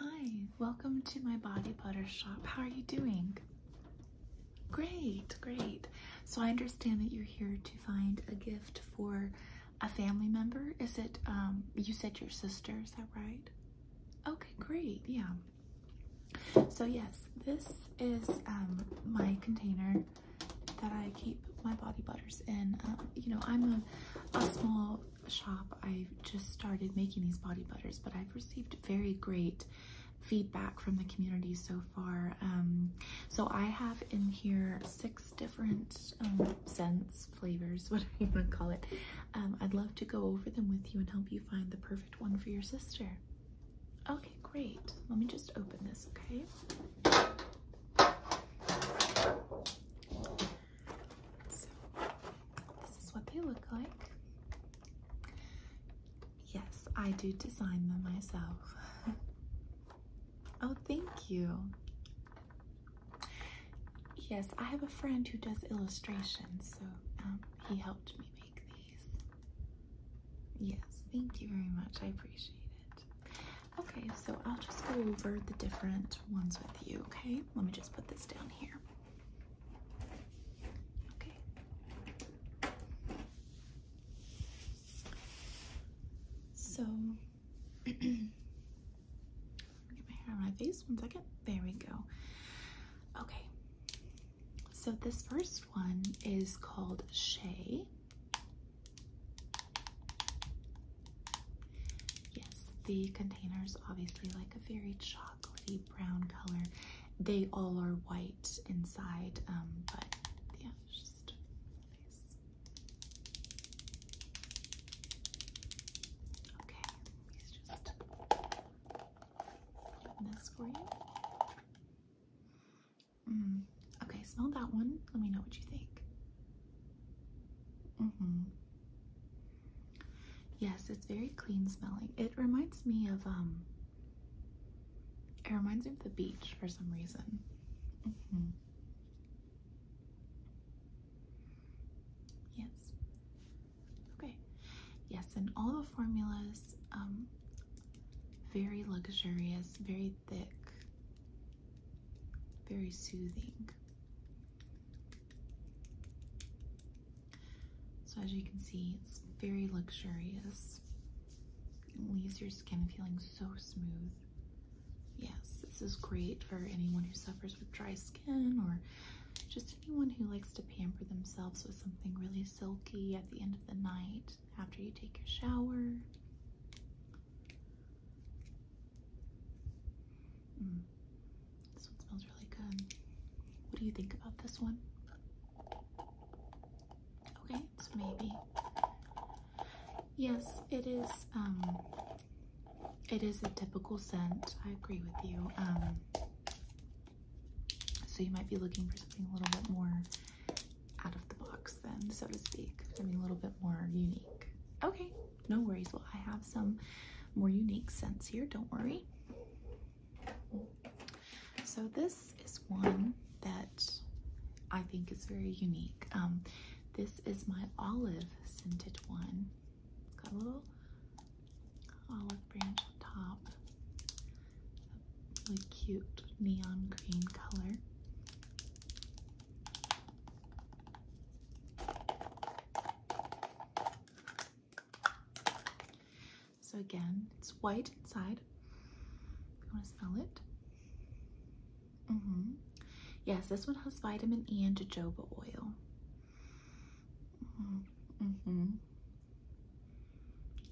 Hi, welcome to my body butter shop. How are you doing? Great, great. So I understand that you're here to find a gift for a family member. Is it, um, you said your sister, is that right? Okay, great, yeah. So yes, this is um, my container that I keep my body butters in. Um, you know, I'm a small shop, i just started making these body butters, but I've received very great feedback from the community so far. Um, so I have in here six different um, scents, flavors, whatever you want to call it. Um, I'd love to go over them with you and help you find the perfect one for your sister. Okay, great. Let me just open this, okay? this is what they look like. Yes, I do design them myself. oh, thank you. Yes, I have a friend who does illustrations, so um, he helped me make these. Yes, thank you very much. I appreciate it. Okay, so I'll just go over the different ones with you, okay? Let me just put this down here. Okay. So get my hair on my face one second. There we go. Okay. So this first one is called Shea. Yes, the containers obviously like a very chocolatey brown color. They all are white inside, um, but yeah, Okay, let's just open this for you. Mm, okay, smell that one. Let me know what you think. Mm -hmm. Yes, it's very clean smelling. It reminds me of um it reminds me of the beach for some reason. Mm -hmm. Yes. Okay. Yes, and all the formulas um very luxurious, very thick, very soothing. So as you can see, it's very luxurious. It leaves your skin feeling so smooth. Yes, this is great for anyone who suffers with dry skin or just anyone who likes to pamper themselves with something really silky at the end of the night after you take your shower. Mm. This one smells really good. What do you think about this one? Okay, so maybe. Yes, it is. Um, it is a typical scent. I agree with you. Um, so you might be looking for something a little bit more out of the box, then, so to speak. I mean, a little bit more unique. Okay, no worries. Well, I have some more unique scents here. Don't worry. So this is one that I think is very unique. Um, this is my olive scented one. It's got a little olive branch on top. A really cute neon green color. So again, it's white inside. You want to smell it? hmm Yes, this one has vitamin E and jojoba oil. hmm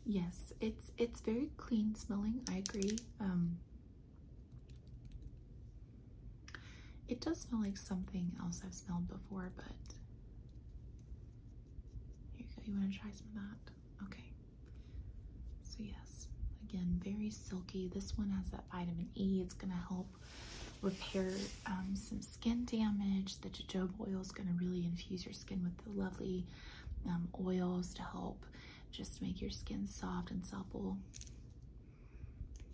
Yes, it's it's very clean smelling. I agree. Um, it does smell like something else I've smelled before, but here you go. You want to try some of that? Okay. So, yes, again, very silky. This one has that vitamin E. It's going to help repair um, some skin damage. The jojoba oil is going to really infuse your skin with the lovely um, oils to help just make your skin soft and supple.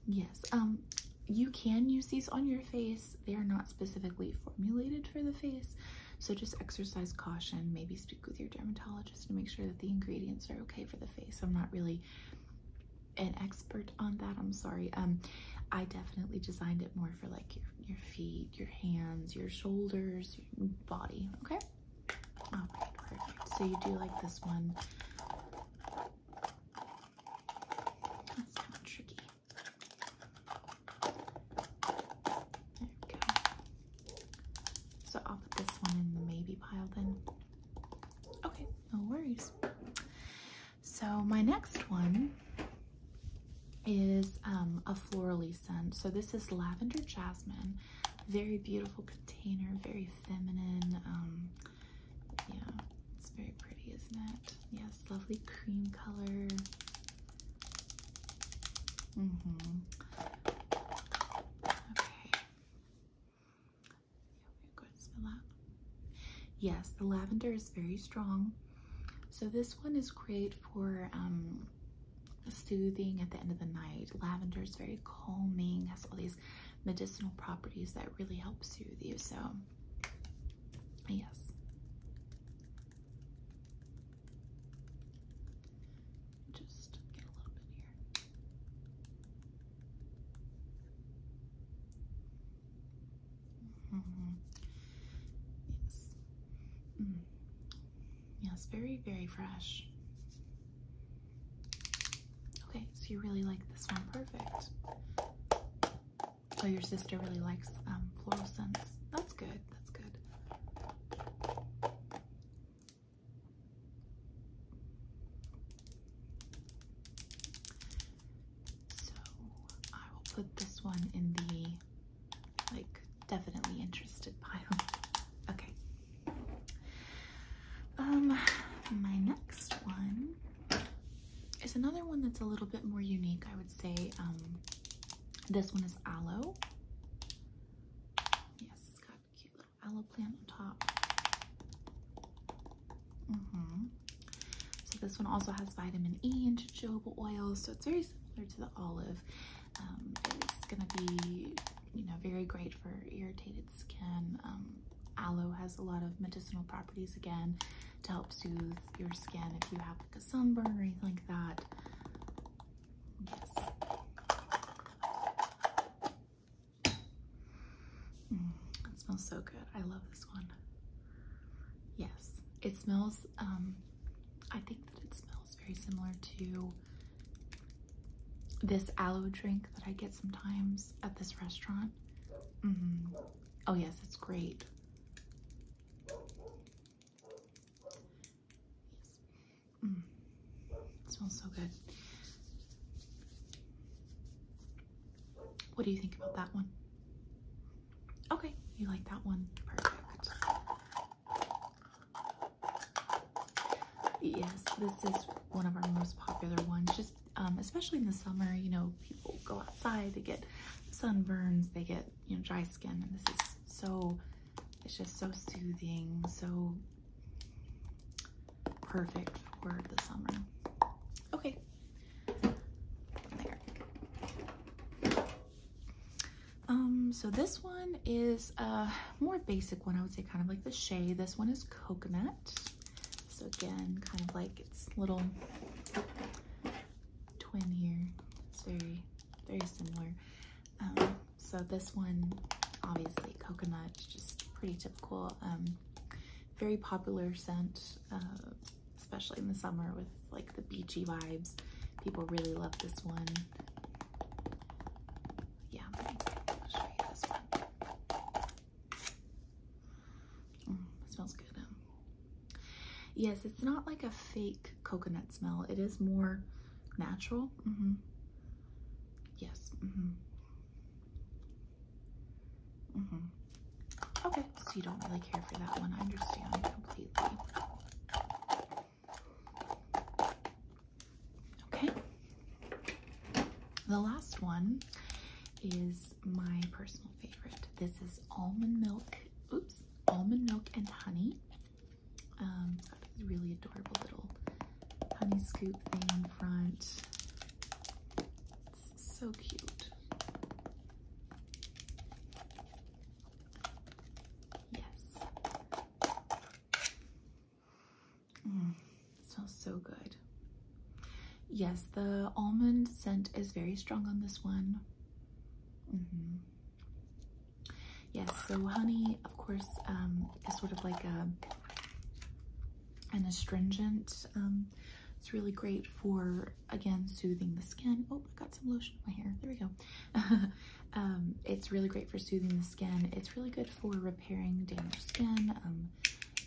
Yes, um, you can use these on your face. They are not specifically formulated for the face, so just exercise caution. Maybe speak with your dermatologist to make sure that the ingredients are okay for the face. I'm not really an expert on that. I'm sorry. Um, I definitely designed it more for like your, your feet, your hands, your shoulders, your body. Okay. So you do like this one. So I'll put this one in the maybe pile then. Okay, no worries. So my next one is um, a florally scent. So this is lavender jasmine. Very beautiful container, very feminine. Um, yeah, it's very pretty, isn't it? Yes, lovely cream color. Mm-hmm. Okay. Yes, the lavender is very strong. So this one is great for um, soothing at the end of the night. Lavender is very calming, has all these medicinal properties that really help soothe you. So Yes. Just get a little bit here. Mm-hmm. Yes. Mm. Yes, very, very fresh. Okay, so you really like this one. Perfect. Oh, your sister really likes um, floral scents. That's good. That's good. So I will put this one in the like definitely interested pile. Okay. Um, my next one it's another one that's a little bit more unique, I would say. Um, this one is aloe. Yes, it's got a cute little aloe plant on top. Mm-hmm. So this one also has vitamin E and jojoba oil, so it's very similar to the olive. Um, it's gonna be, you know, very great for irritated skin. Um, aloe has a lot of medicinal properties again to help soothe your skin if you have like a sunburn or anything like that. Yes. Mm, it smells so good. I love this one. Yes, it smells, um, I think that it smells very similar to this aloe drink that I get sometimes at this restaurant. Mm-hmm. Oh yes, it's great. Mm. smells so good. What do you think about that one? Okay, you like that one? Perfect. Yes, this is one of our most popular ones. Just um, especially in the summer, you know, people go outside, they get sunburns, they get, you know, dry skin. And this is so, it's just so soothing, so perfect for the summer. Okay. There. Um, so this one is a more basic one, I would say kind of like the Shea. This one is coconut. So again, kind of like its little twin here. It's very, very similar. Um, so this one, obviously coconut, just pretty typical. Um, very popular scent, uh, especially in the summer with like the beachy vibes. People really love this one. Yeah, this one. Mm, smells good. Um. yes, it's not like a fake coconut smell. It is more natural. Mm-hmm. Yes. Mm-hmm. Mm-hmm. Okay, so you don't really care for that one. I understand completely. Okay. The last one is my personal favorite. This is almond milk, oops, almond milk and honey. Um, it's got this really adorable little honey scoop thing in front. so cute. Yes. Mm, smells so good. Yes, the almond scent is very strong on this one. Mm-hmm. Yes, so honey, of course, um, is sort of like a an astringent. Um, it's really great for again soothing the skin. Oh, I got some lotion in my hair. There we go. Um, it's really great for soothing the skin. It's really good for repairing damaged skin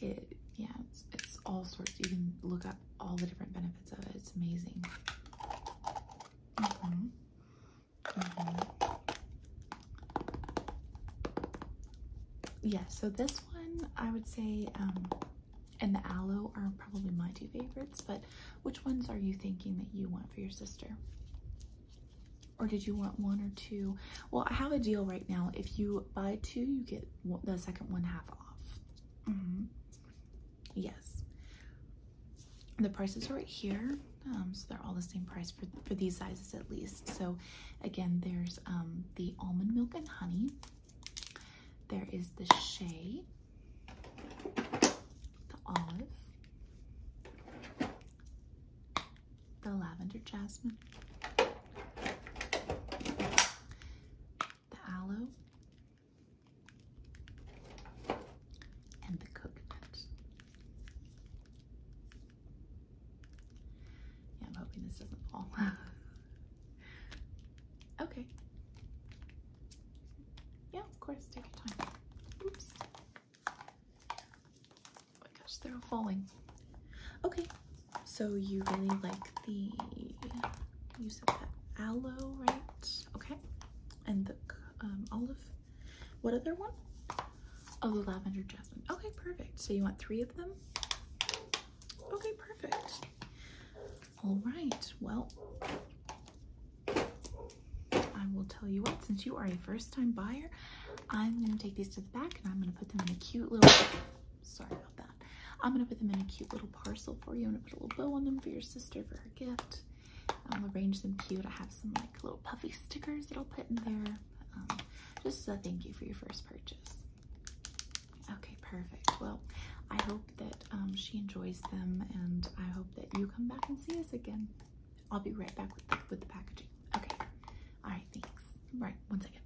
it yeah it's, all sorts you can look up all the different benefits of it it's amazing mm-hmm. Mm-hmm. yeah so this one i would say um, and the aloe are probably my two favorites but which ones are you thinking that you want for your sister or did you want one or two? Well, I have a deal right now. If you buy two, you get the second one half off. Yes. The prices are right here. Um, so they're all the same price for, for these sizes at least. So again, there's um, the almond milk and honey. There is the Shea, the olive, the lavender jasmine, the aloe, and the coconut. Yeah, I'm hoping this doesn't fall. okay. Yeah, of course, take your time. Oops. Oh my gosh, they're all falling. Okay, so you really like the, you said the aloe, right? Okay. And the um, olive. What other one? Oh, the lavender jasmine. Okay, perfect. So you want three of them? Okay, perfect. All right, well, I will tell you what, since you are a first-time buyer, I'm going to take these to the back and I'm going to put them in a cute little, sorry about that. I'm gonna put them in a cute little parcel for you. I'm gonna put a little bow on them for your sister for her gift. I'll arrange them cute. I have some like little puffy stickers that I'll put in there. Um, just as a thank you for your first purchase. Okay, perfect. Well, I hope that um, she enjoys them and I hope that you come back and see us again. I'll be right back with the, with the packaging. Okay. All right, thanks. Right. one second.